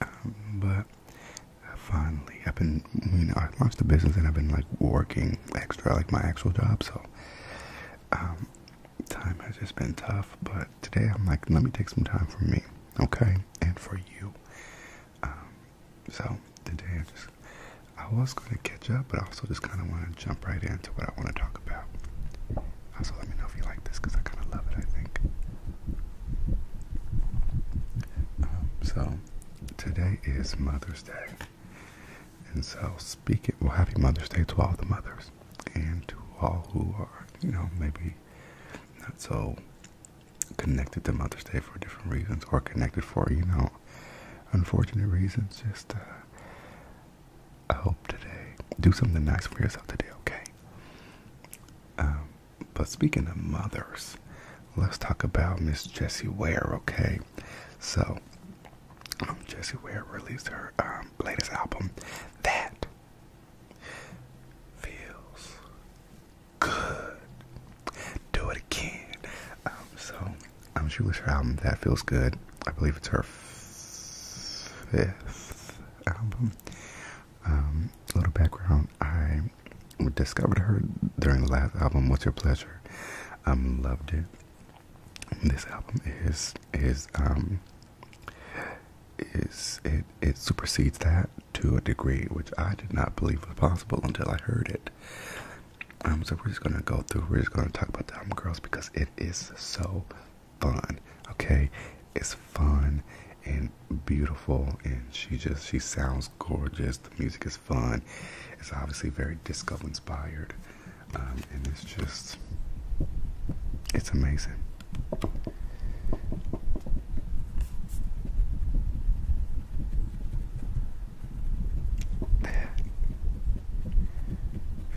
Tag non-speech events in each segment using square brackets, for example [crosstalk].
Um, but I finally, I've been, you know, I launched the business and I've been like working extra, like my actual job. So, um, time has just been tough. But today I'm like, let me take some time for me, okay, and for you. Um, so today I just, I was going to catch up, but I also just kind of want to jump right into what I want to talk about. Also, let me know if you like this because I kind of love it, I think. Um, so, today is Mother's Day. And so, speaking, well, happy Mother's Day to all the mothers and to all who are, you know, maybe not so connected to Mother's Day for different reasons or connected for, you know, unfortunate reasons. Just, uh, I hope today, do something nice for yourself today, okay? Um, but speaking of mothers, let's talk about Miss Jessie Ware, okay? So, um, Jessie Ware released her um, latest album that feels good. Do it again. Um, so, um, she released her album that feels good. I believe it's her fifth album a um, little background: I discovered her during the last album, "What's Your Pleasure." I um, loved it. This album is is um, is it it supersedes that to a degree which I did not believe was possible until I heard it. Um, so we're just gonna go through. We're just gonna talk about the girls, because it is so fun. Okay, it's fun and beautiful, and she just she sounds gorgeous. The music is fun. It's obviously very disco inspired, um, and it's just it's amazing.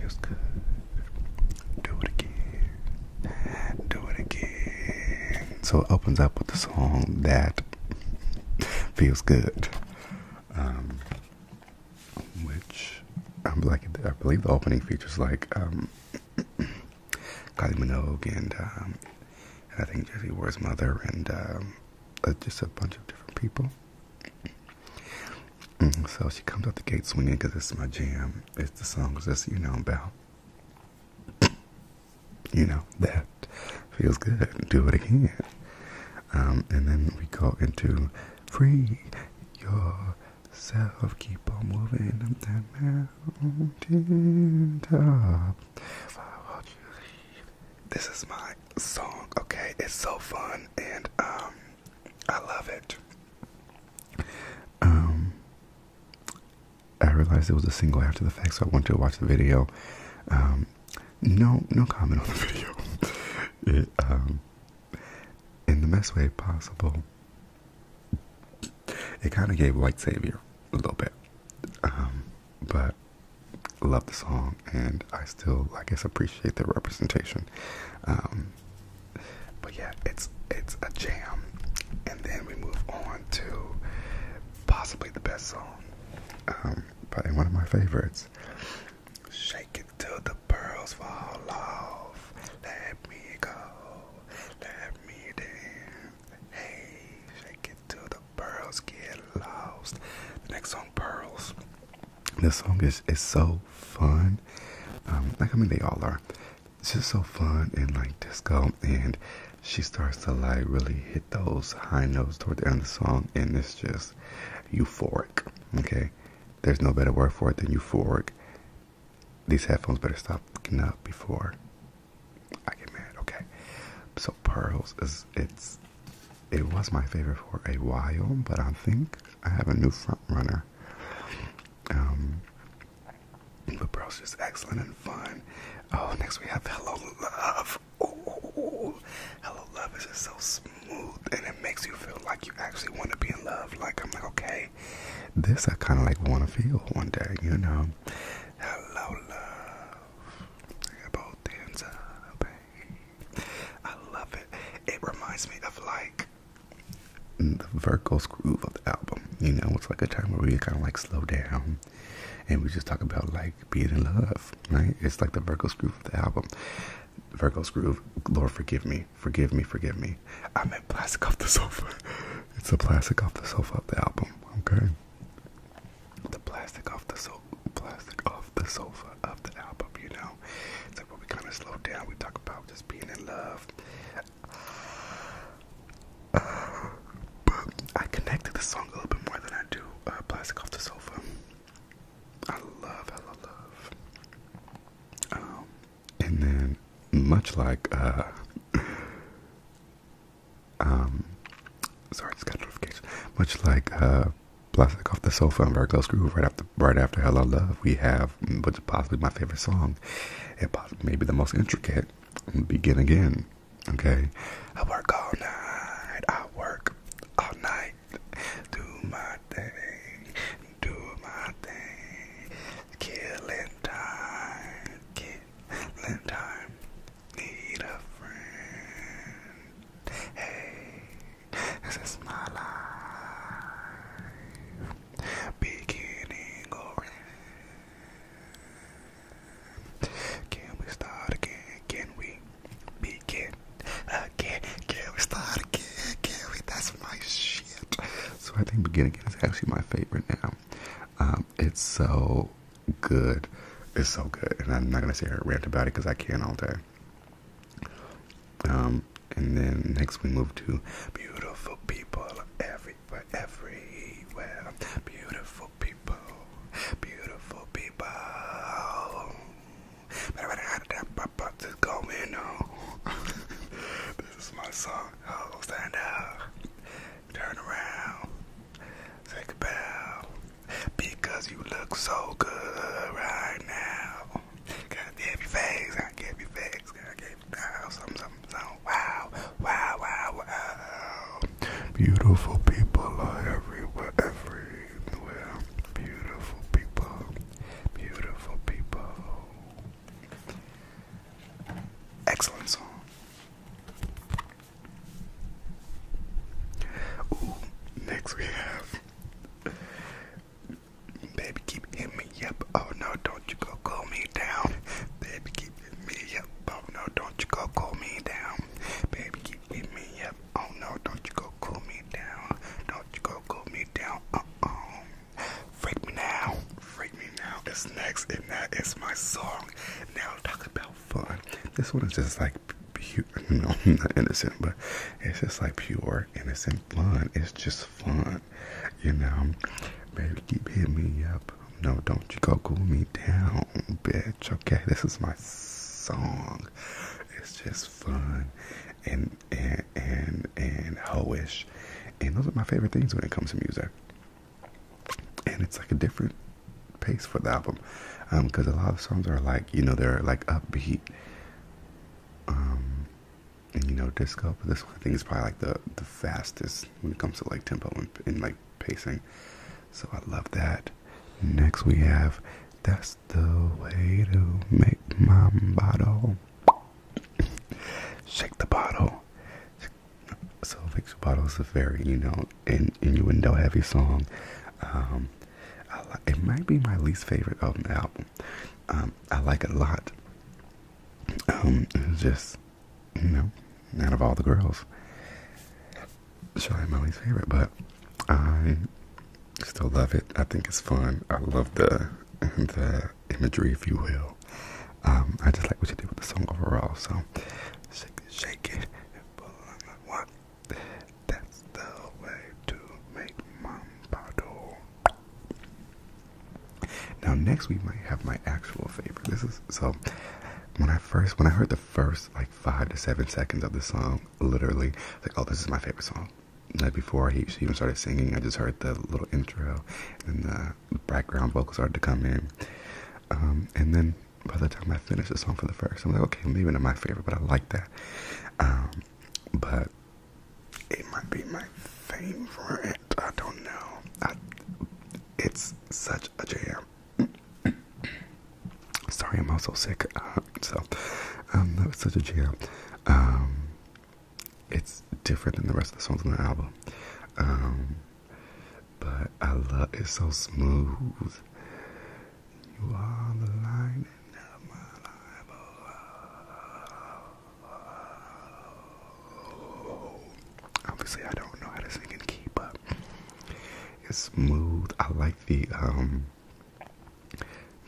feels good. Do it again do it again. So it opens up with a song that feels good. Um, which i believe the opening features like um, [clears throat] Kylie Minogue um, and, I think Jesse Ward's mother and uh, just a bunch of different people. Mm-hmm. So she comes out the gate swinging because this is my jam it's the songs that you know about. [coughs] you know, that feels good. Do it again. Um, and then we go into free yourself. Keep on moving up that mountain top. This is my song, okay? It's so fun and um, I love it. Um, I realized it was a single after the fact, so I went to watch the video. Um, no, no comment on the [laughs] video. um, in the best way possible, it kind of gave White Savior a little bit, um, but love the song, and I still, I guess, appreciate the representation. Um, but yeah, it's it's a jam, and then we move on to possibly the best song, um, probably one of my favorites. Shake it till the pearls fall off. Let me go. Let me dance. Hey, shake it till the pearls get lost. The next song, Pearls. The song is, is so fun. Um, like, I mean, they all are. It's just so fun and like disco. And she starts to like really hit those high notes toward the end of the song. And it's just euphoric. Okay. There's no better word for it than euphoric. These headphones better stop fucking up before I get mad. Okay. So, Pearls is, it's, it was my favorite for a while, but I think I have a new front runner. Um, but Pearl's just excellent and fun. Oh, next we have Hello Love. Ooh, Hello Love is just so smooth and it makes you feel like you actually want to be in love. Like, I'm like, okay, this I kind of like want to feel one day, you know. Hello Love. I got both hands up. I love it. It reminds me of like the Virgo's groove of the album. You know, it's like a time where we kind of like slow down and we just talk about like being in love, right? It's like the Virgo's groove of the album. Virgo's groove, Lord, forgive me, forgive me, forgive me. I am meant plastic off the sofa. [laughs] It's the plastic off the sofa of the album, okay? The plastic off the sofa, plastic off the sofa of the album, you know? It's like we kind of slow down. We talk about just being in love. I connect this song a little bit more than I do uh, Plastic Off the Sofa. I love, love, love. Um, and then, much like, uh, [laughs] um, sorry, I just got a Much like, uh, plastic off the sofa and Virgo Groove right after right after Hello Love we have which possibly my favorite song and possibly maybe the most intricate Begin Again. Okay. I work all night, I work all night, do my thing, do my thing, killing time, killing time, need a friend. Hey, this is my life. Beginning again. Can we start again? Can we begin again? Can we start again? Can we? That's my shit. So I think beginning again is actually my favorite now. Um, it's so good. It's so good. And I'm not going to sit here and about it because I can all day. Um, and then next we move to beautiful people everywhere, everywhere. Beautiful people, beautiful people. What's going on? This is my song. Oh, stand up, turn around, take a bow. Because you look so good right now. Gotta give face, gotta give face, gotta give you wow, something, something, Wow, wow, wow, wow. Beautiful people are everywhere, everywhere. Beautiful people, beautiful people. Excellent song. Ooh, next we have Baby, keep hitting me up. Oh no, don't you go cool me down. Baby, keep hitting me up. Oh no, don't you go cool me down. Baby, keep hitting me up. Oh no, don't you go cool me down. Don't you go cool me down. Uh oh. Freak me now. Freak me now is next, and that is my song. Now, talk about fun. This one is just like [laughs] I'm not innocent, but it's just like pure, innocent fun. It's just fun, you know. Baby, keep hitting me up. No, don't you go cool me down, bitch. Okay, this is my song. It's just fun and and and and hoish, and those are my favorite things when it comes to music. And it's like a different pace for the album, because um, a lot of songs are like you know they're like upbeat um, and you know, disco, but this thing is probably like the the fastest when it comes to like tempo and, like pacing. So I love that. Next we have "That's the Way to Make My Bottle." [laughs] Shake the bottle. So, "Fix Your Bottle" is a very you know in, innuendo heavy song. Um, um, it might be my least favorite of the album. Um, I like it a lot. Um, just you know, out of all the girls, sure I'm my least favorite, but I still love it. I think it's fun. I love the the imagery, if you will. I just like what you did with the song overall. So shake it, shake it, what that's the way to make Mambato. Now next we might have my actual favorite. This is so when I first when I heard the first like five to seven seconds of the song, literally like oh this is my favorite song. Like before he even started singing, I just heard the little intro and the background vocals started to come in. Um, and then by the time I finish the song for the first, I'm like, okay, maybe not my favorite, but I like that. Um, but it might be my favorite. I don't know. it's such a jam. [clears throat] Sorry, I'm also sick. Uh, so, um, that was such a jam. Um, it's different than the rest of the songs on the album. Um, but I love it's so smooth. You are the light of my life. Obviously, I don't know how to sing in key, but it's smooth. I like the um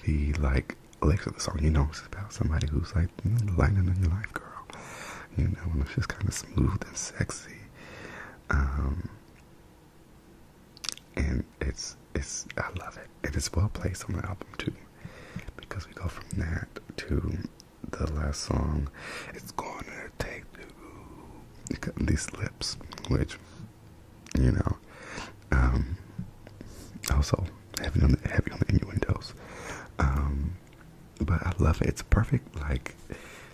the like lyrics of the song. You know, it's about somebody who's like mm, lightning in your life, girl. You know, and it's just kind of smooth and sexy. Um, and it's it's I love it. It is well placed on the album too, because we go from that to the last song. It's gonna take the, these lips, which you know, um, also heavy on the heavy on the innuendos, um, but I love it. It's perfect like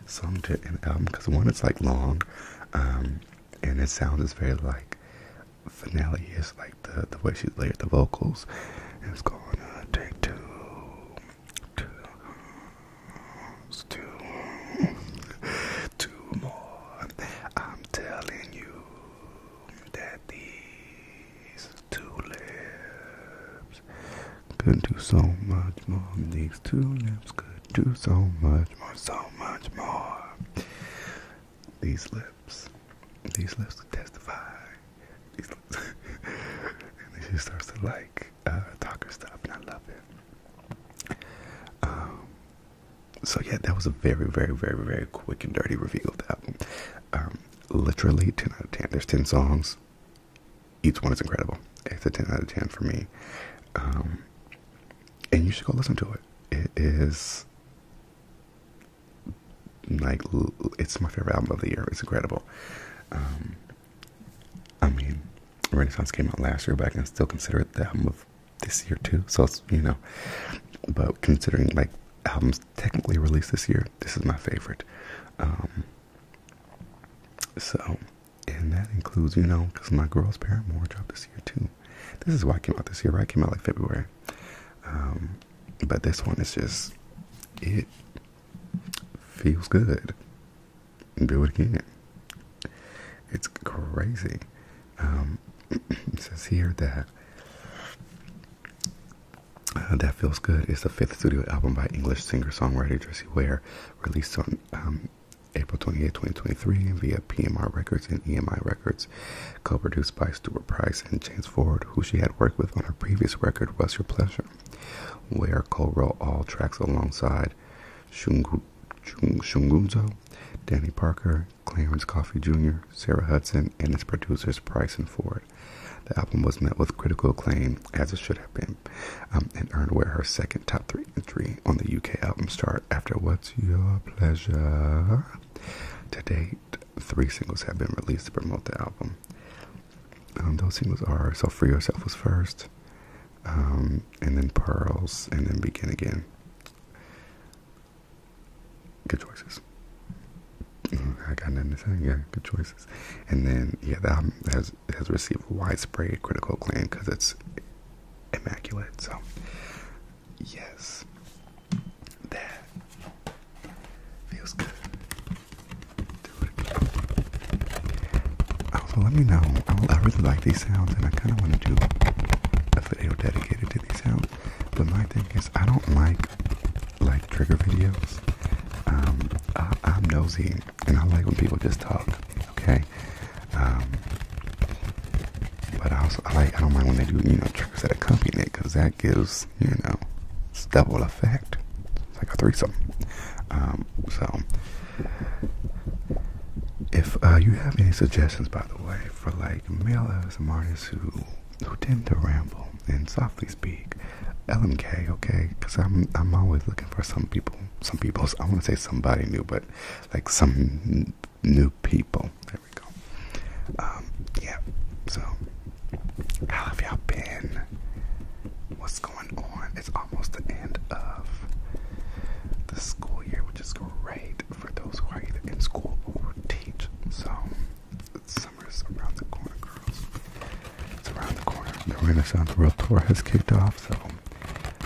song to an album because one, it's like long, um, and it sounds is very like finale is like the the way she layered the vocals. it's going to take two, two, two, two more. I'm telling you that these two lips could do so much more than these two lips could do so much more, so much more. These lips, these lips could testify. [laughs] and then she starts to like uh, talk her stuff, and I love it. Um, so yeah, that was a very, very, very, very quick and dirty reveal of that one. Um, literally 10 out of 10. There's 10 songs each one is incredible. It's a 10 out of 10 for me. Um, and you should go listen to it. It is like it's my favorite album of the year. It's incredible. Um, I mean, Renaissance came out last year, but I can still consider it the album of this year too. So it's you know, but considering like albums technically released this year, this is my favorite. Um, so and that includes, you know, because my girl's Paramore dropped this year too. This is why I came out this year, right? came out like February. Um, but this one is just, it feels good. Do it again. It's crazy. Um, [clears throat] it says here that uh, That Feels Good It's the fifth studio album by English singer songwriter Jessie Ware, released on um, April 28, 2023, via PMR Records and EMI Records, co produced by Stuart Price and James Ford, who she had worked with on her previous record, What's Your Pleasure, where Cole wrote all tracks alongside Shungu, Shung, Shungunzo, Danny Parker, Clarence Coffee Jr., Sarah Hudson, and its producers Price and Ford. The album was met with critical acclaim as it should have been, um, and earned where her second top three entry on the UK album chart after What's Your Pleasure? To date, three singles have been released to promote the album. Um, those singles are So Free Yourself was first, um, and then Pearls, and then Begin Again. Good choices. Mm-hmm. I got nothing to say. Yeah, good choices. And then, yeah, the has has has received widespread critical acclaim because it's immaculate. So, yes, that feels good. Also, let me know. I, really like these sounds, and I kind of want to do a video dedicated to these sounds. But my thing is, I don't like like trigger videos. Um, I'm nosy and I like when people just talk. Okay, um, but I also I like I don't mind when they do you know tricks that accompany it because that gives you know it's double effect. like a threesome. Um, so if uh, you have any suggestions, by the way, for like male artists who who tend to ramble and softly speak, LMK, okay? Because I'm I'm always looking for some people, some people. I want to say somebody new, but like some new people. There we go. Um, yeah. So, how have y'all been? What's going on? It's almost the end of the school year, which is great for those who are either in school or teach. So, summer's around the corner, girls. It's around the corner. The Renaissance World Tour has kicked off, so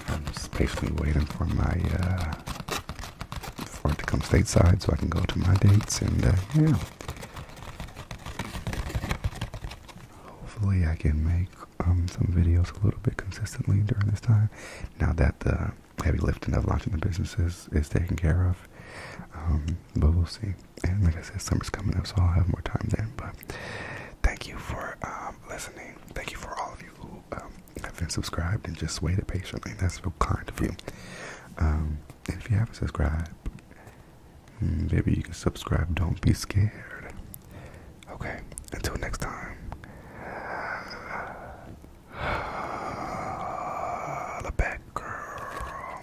I'm just patiently waiting for my uh, it to come stateside so I can go to my dates and uh, yeah. Hopefully, I can make um, some videos a little bit consistently during this time. Now that the heavy lifting of launching the business is, taken care of, um, but we'll see and like I said, summer's coming up, so I'll have more time then. But thank you for um, listening. Thank you for all of you who um, have been subscribed and just waited patiently. That's real kind of you. Um, if you haven't subscribed, hmm, maybe you can subscribe. Don't be scared. Okay. Until next time. [sighs] The back girl.